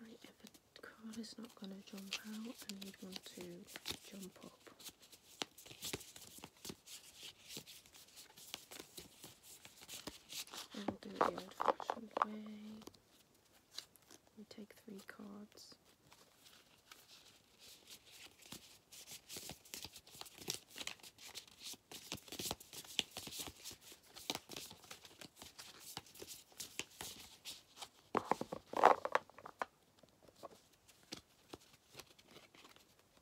Right, if a card is not going to jump out, then you'd want to jump up we'll do it the old-fashioned way. We take three cards.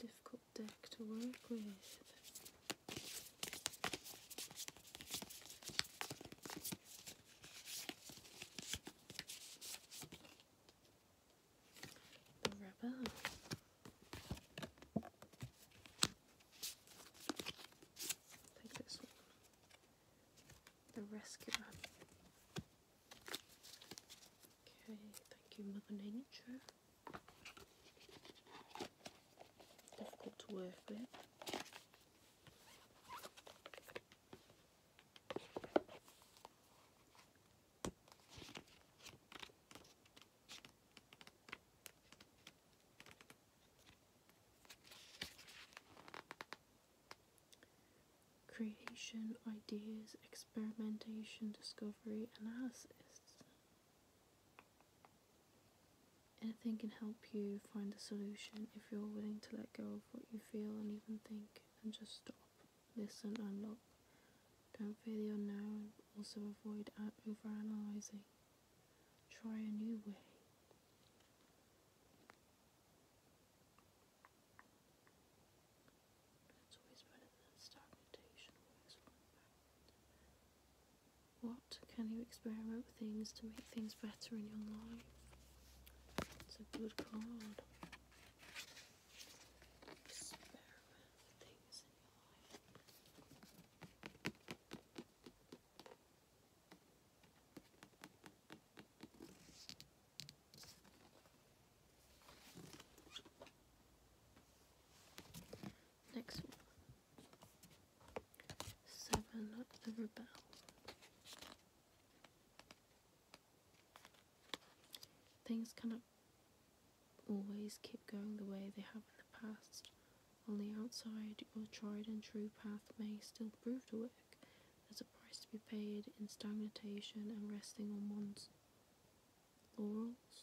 Difficult deck to work with the rubber. Take this one. The rescuer. Okay, thank you, Mother Nature. Difficult to work with. Creation, ideas, experimentation, discovery, analysis. Anything can help you find a solution if you're willing to let go of what you feel and even think and just stop listen and look. Don't fear the unknown, also avoid overanalyzing. Try a new way. It's always better than stagnation, What can you experiment with things to make things better in your life? It's a good card. Experiment with Next one. Seven the Rebel. Things cannot always keep going the way they have in the past. On the outside, your tried and true path may still prove to work. as a price to be paid in stagnation and resting on one's laurels.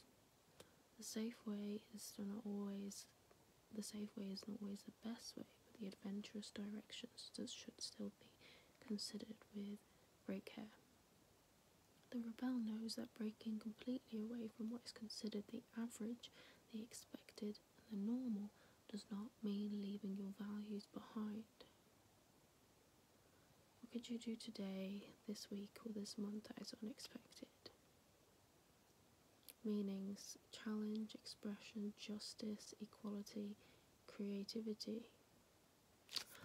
The safe way is not always the safe way is not always the best way, but the adventurous directions should still be considered with break hair. The rebel knows that breaking completely away from what is considered the average, the expected, and the normal does not mean leaving your values behind. What could you do today, this week, or this month that is unexpected? Meanings challenge, expression, justice, equality, creativity.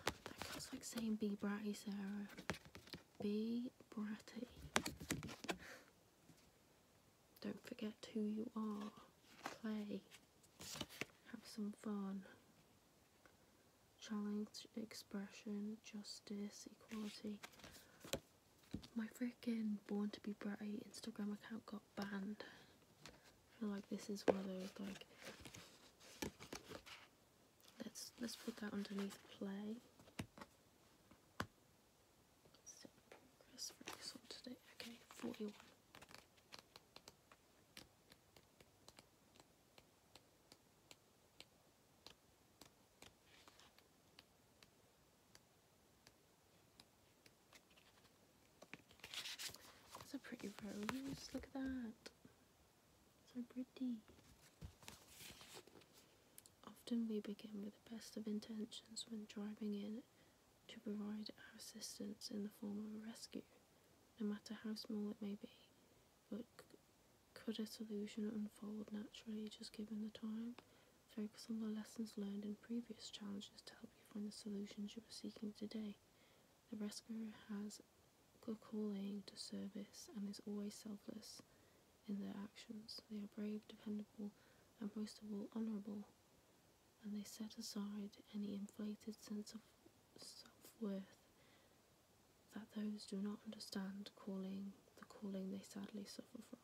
That feels like saying be bratty, Sarah. Be bratty. Don't forget who you are. Play. Have some fun. Challenge expression, justice, equality. My freaking Born to be Bratty Instagram account got banned. I feel like this is one of those like let's let's put that underneath play. So progress for this one today. Okay, forty one. That's a pretty rose. Look at that. So pretty. Often we begin with the best of intentions when driving in to provide our assistance in the form of a rescue, no matter how small it may be. But could a solution unfold naturally just given the time? Focus on the lessons learned in previous challenges to help you find the solutions you are seeking today. The rescuer has a calling to service and is always selfless in their actions. They are brave, dependable, and most of all, honourable, and they set aside any inflated sense of self worth that those do not understand calling the calling they sadly suffer from.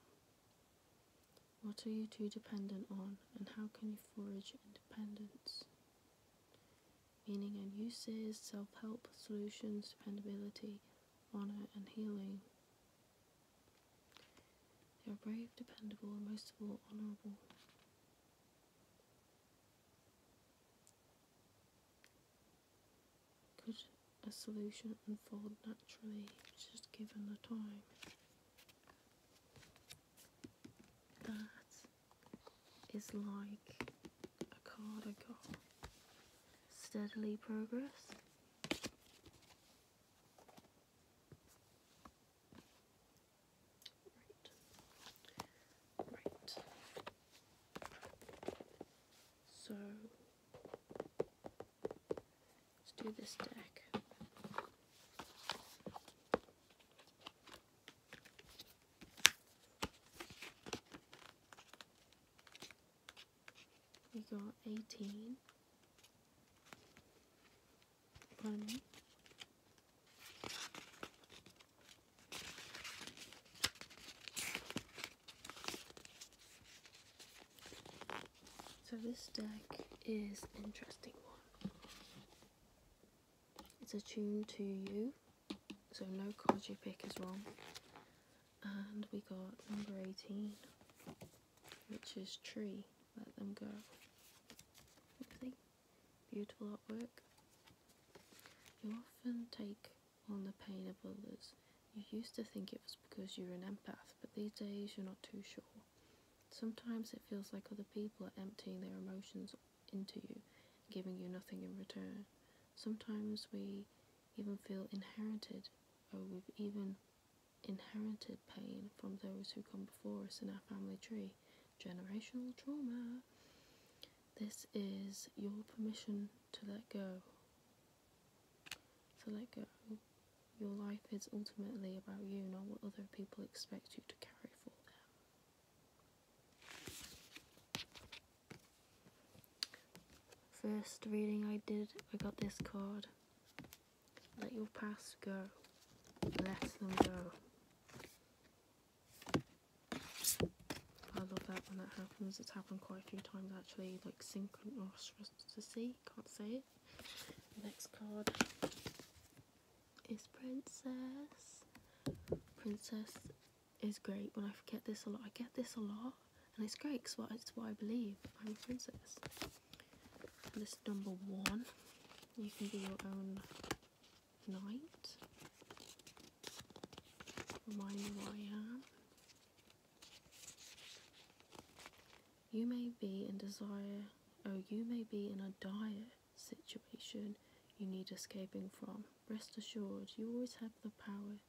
What are you too dependent on, and how can you forge independence? meaning and uses, self help, solutions, dependability, honour, and healing. They are brave, dependable, and most of all, honourable. Could a solution unfold naturally, just given the time? That is like a card I got steadily progress. Right. Right. So let's do this deck. We got 18. Pardon So this deck is interesting one. It's a tune to you, so no card you pick is wrong. And we got number 18, which is Tree, Let Them Go. Beautiful artwork. You often take on the pain of others. You used to think it was because you are an empath, but these days you're not too sure. Sometimes it feels like other people are emptying their emotions into you, giving you nothing in return. Sometimes we even feel inherited, or we've even inherited pain from those who come before us in our family tree. Generational trauma. This is your permission to let go. To let go. Your life is ultimately about you, not what other people expect you to carry for them. First reading I did, I got this card. Let your past go. Let them go. I love that when that happens. It's happened quite a few times actually, like synchronicity, can't say it. Next card is Princess. Princess is great when I forget this a lot. I get this a lot and it's great because it's what I believe. I'm a princess. And this number one. You can be your own knight. Remind me who I am. You may be in desire, or oh, you may be in a diet situation you need escaping from. Rest assured, you always have the power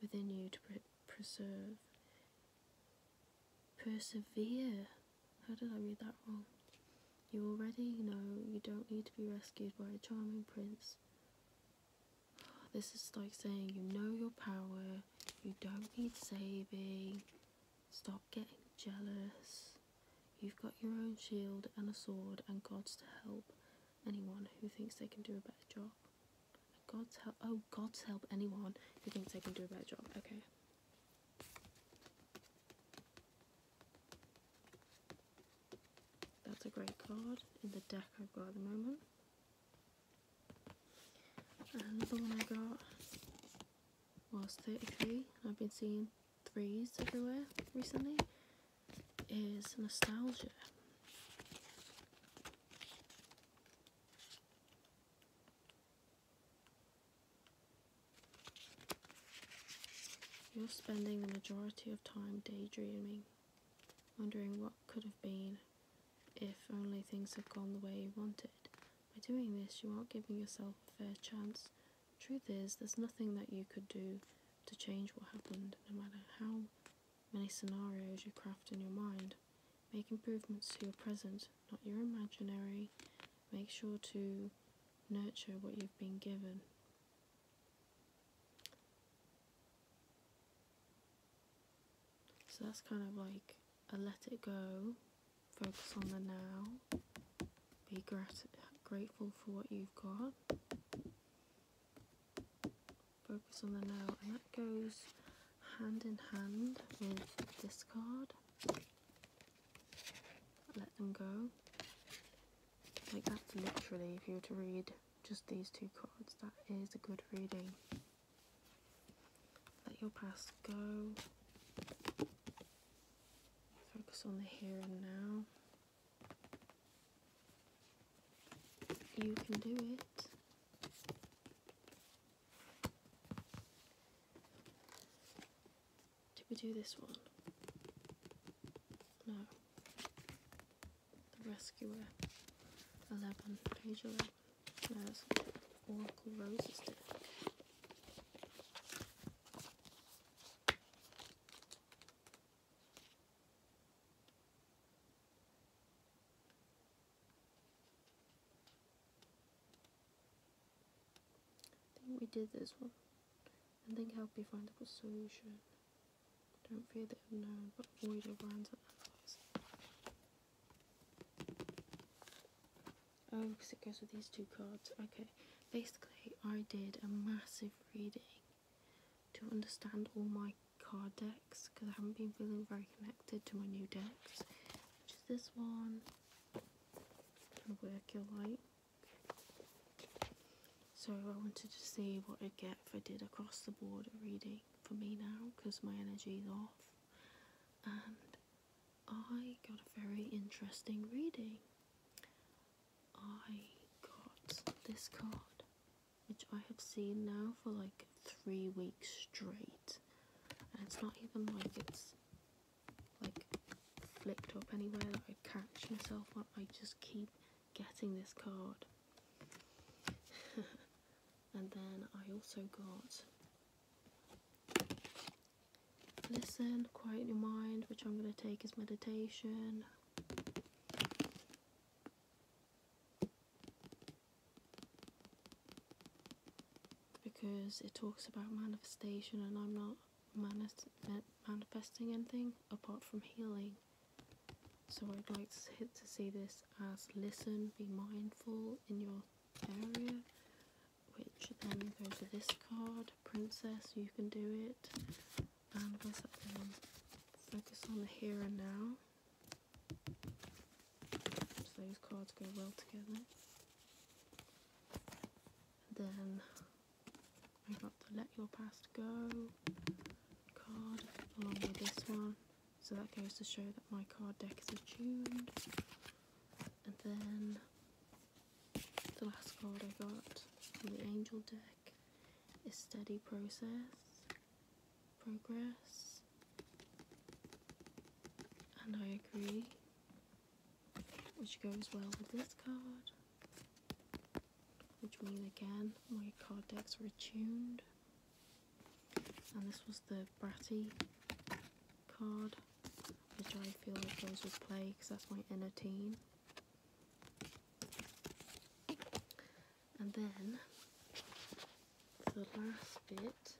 within you to preserve. Persevere. How did I read that wrong? You already know you don't need to be rescued by a charming prince. This is like saying you know your power, you don't need saving, stop getting jealous. You've got your own shield and a sword and God's to help anyone who thinks they can do a better job. God's help oh God's help anyone who thinks they can do a better job. Okay. That's a great card in the deck I've got at the moment. And another one I got was 33. I've been seeing threes everywhere recently is nostalgia. You're spending the majority of time daydreaming, wondering what could have been if only things had gone the way you wanted. By doing this, you aren't giving yourself a fair chance Truth is, there's nothing that you could do to change what happened, no matter how many scenarios you craft in your mind. Make improvements to your present, not your imaginary. Make sure to nurture what you've been given. So that's kind of like a let it go focus on the now. Be grat grateful for what you've got. Focus on the now, and that goes hand in hand with discard. Let them go. Like, that's literally, if you were to read just these two cards, that is a good reading. Let your past go. Focus on the here and now. You can do it. Did we do this one? No. The Rescuer. 11. Page 11. There's Oracle Rose's I think we did this one. And then help you find a solution. Don't fear the unknown, but avoid your brands and allies. Oh, because it goes with these two cards. Okay, basically I did a massive reading to understand all my card decks because I haven't been feeling very connected to my new decks, which is this one and work your like. So I wanted to see what I'd get if I did across the board reading for me now because my energy is off and I got a very interesting reading. I got this card, which I have seen now for like three weeks straight. And it's not even like it's like flipped up anywhere that I catch myself on. I just keep getting this card. and then I also got listen, quiet your mind, which I'm going to take as meditation. Because it talks about manifestation, and I'm not manifesting anything apart from healing. So I'd like to, to see this as listen, be mindful in your area, which then goes to this card, Princess, you can do it. And where's that one? Focus on the here and now. So those cards go well together. then I got the Let Your Past Go card along with this one. So that goes to show that my card deck is attuned. And then the last card I got from the Angel deck is Steady Process, Progress, and I Agree, which goes well with this card, which means again my card decks were tuned. And this was the Bratty card, which I feel like goes with play because that's my inner team, And then the last bit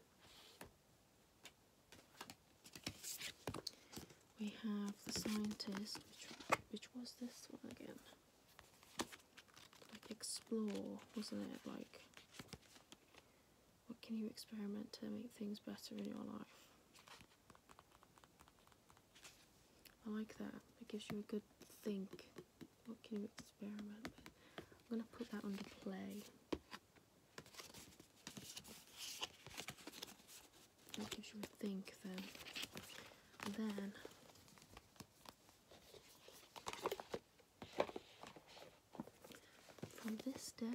we have the scientist, which, which was this one again. Like explore, wasn't it? Like what can you experiment to make things better in your life? I like that. It gives you a good think. What can you experiment with? I'm going to put that under play. That gives you a think then. then from this deck.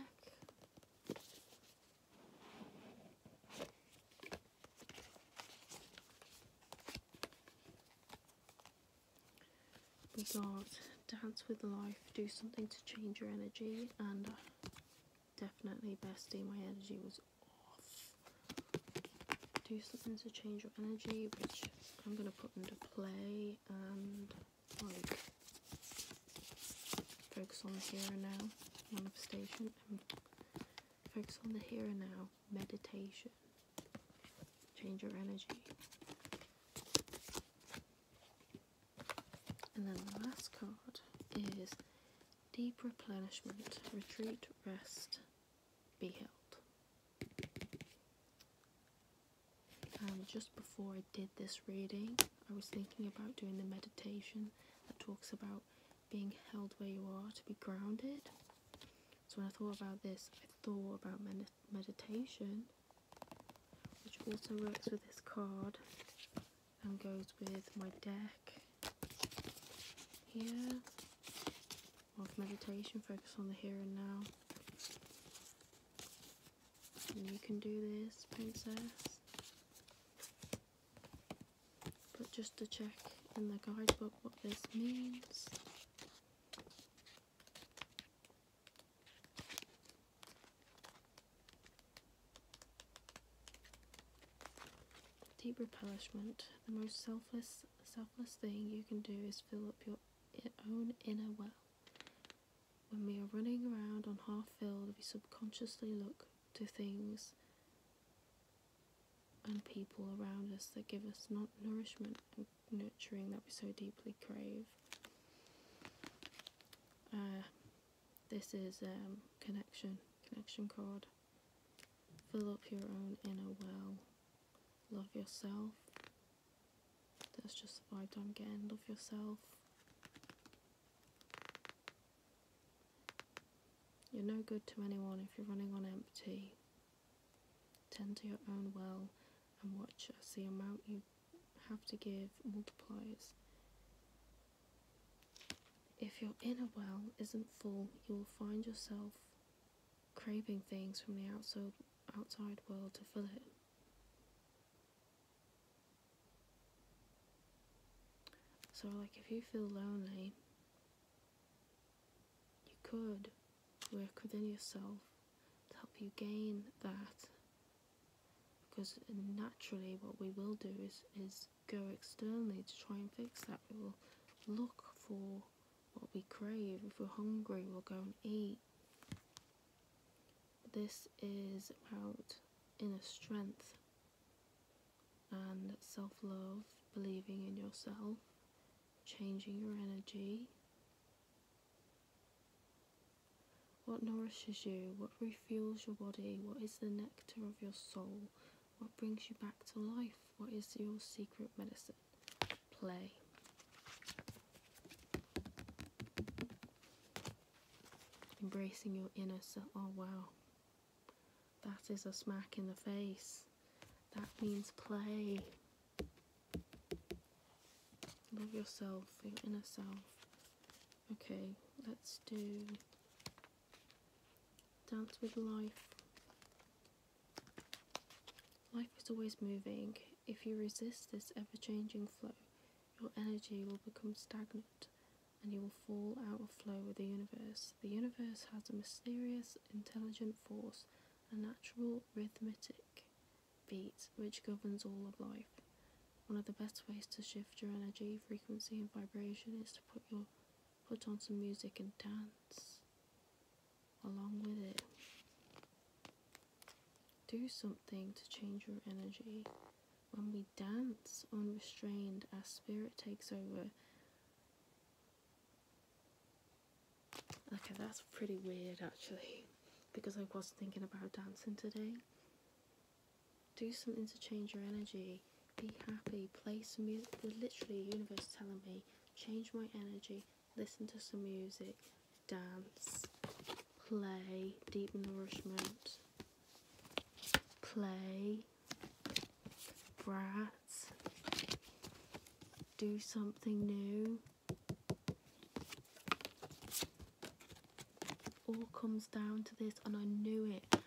We got Dance with Life, Do Something to Change Your Energy, and definitely Bestie, my energy was off. Do Something to Change Your Energy, which I'm going to put into play, and focus on the here and now manifestation and focus on the here and now meditation change your energy and then the last card is deep replenishment retreat rest be held um, just before I did this reading, I was thinking about doing the meditation that talks about being held where you are to be grounded. So when I thought about this, I thought about meditation, which also works with this card and goes with my deck here of meditation, focus on the here and now you can do this, princess. But just to check in the guidebook what this means. Deep replenishment. The most selfless selfless thing you can do is fill up your own inner well. When we are running around on half filled, we subconsciously look to things and people around us that give us not nourishment and nurturing that we so deeply crave. Uh, this is um, connection, connection cord. Fill up your own inner well. Love yourself, that's just the vibe I'm getting. Love yourself. You're no good to anyone if you're running on empty. Tend to your own well and watch as the amount you have to give multiplies. If your inner well isn't full, you will find yourself craving things from the outside, outside world to fill it. So, like, if you feel lonely, you could work within yourself to help you gain that. Because naturally, what we will do is, is go externally to try and fix that. We will look for what we crave. If we're hungry, we'll go and eat. This is about inner strength and self love, believing in yourself, changing your energy. What nourishes you, what refuels your body, what is the nectar of your soul, what brings you back to life, what is your secret medicine? Play. Embracing your inner self. Oh, wow. That is a smack in the face. That means play. Love yourself, your inner self. Okay, let's do Dance with Life. Life is always moving. If you resist this ever changing flow, your energy will become stagnant and you will fall out of flow with the universe. The universe has a mysterious, intelligent force, a natural rhythmic beat which governs all of life. One of the best ways to shift your energy, frequency, and vibration is to put your put on some music and dance along with it. Do something to change your energy. When we dance unrestrained, our spirit takes over. Okay, that's pretty weird actually, because I was thinking about dancing today. Do something to change your energy. Be happy. Play some music. Literally, the universe telling me, change my energy. Listen to some music dance, play, deep nourishment, play, brats, do something new. All comes down to this, and I knew it.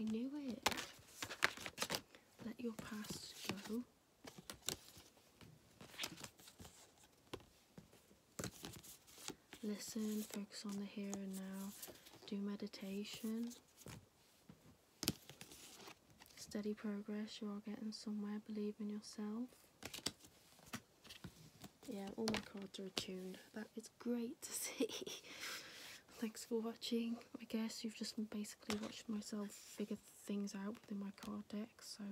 I knew it. Let your past go. Listen, focus on the here and now, do meditation. Steady progress, you are getting somewhere, believe in yourself. Yeah, all my cards are attuned. That is great to see. Thanks for watching. I guess you've just basically watched myself figure things out within my card deck, so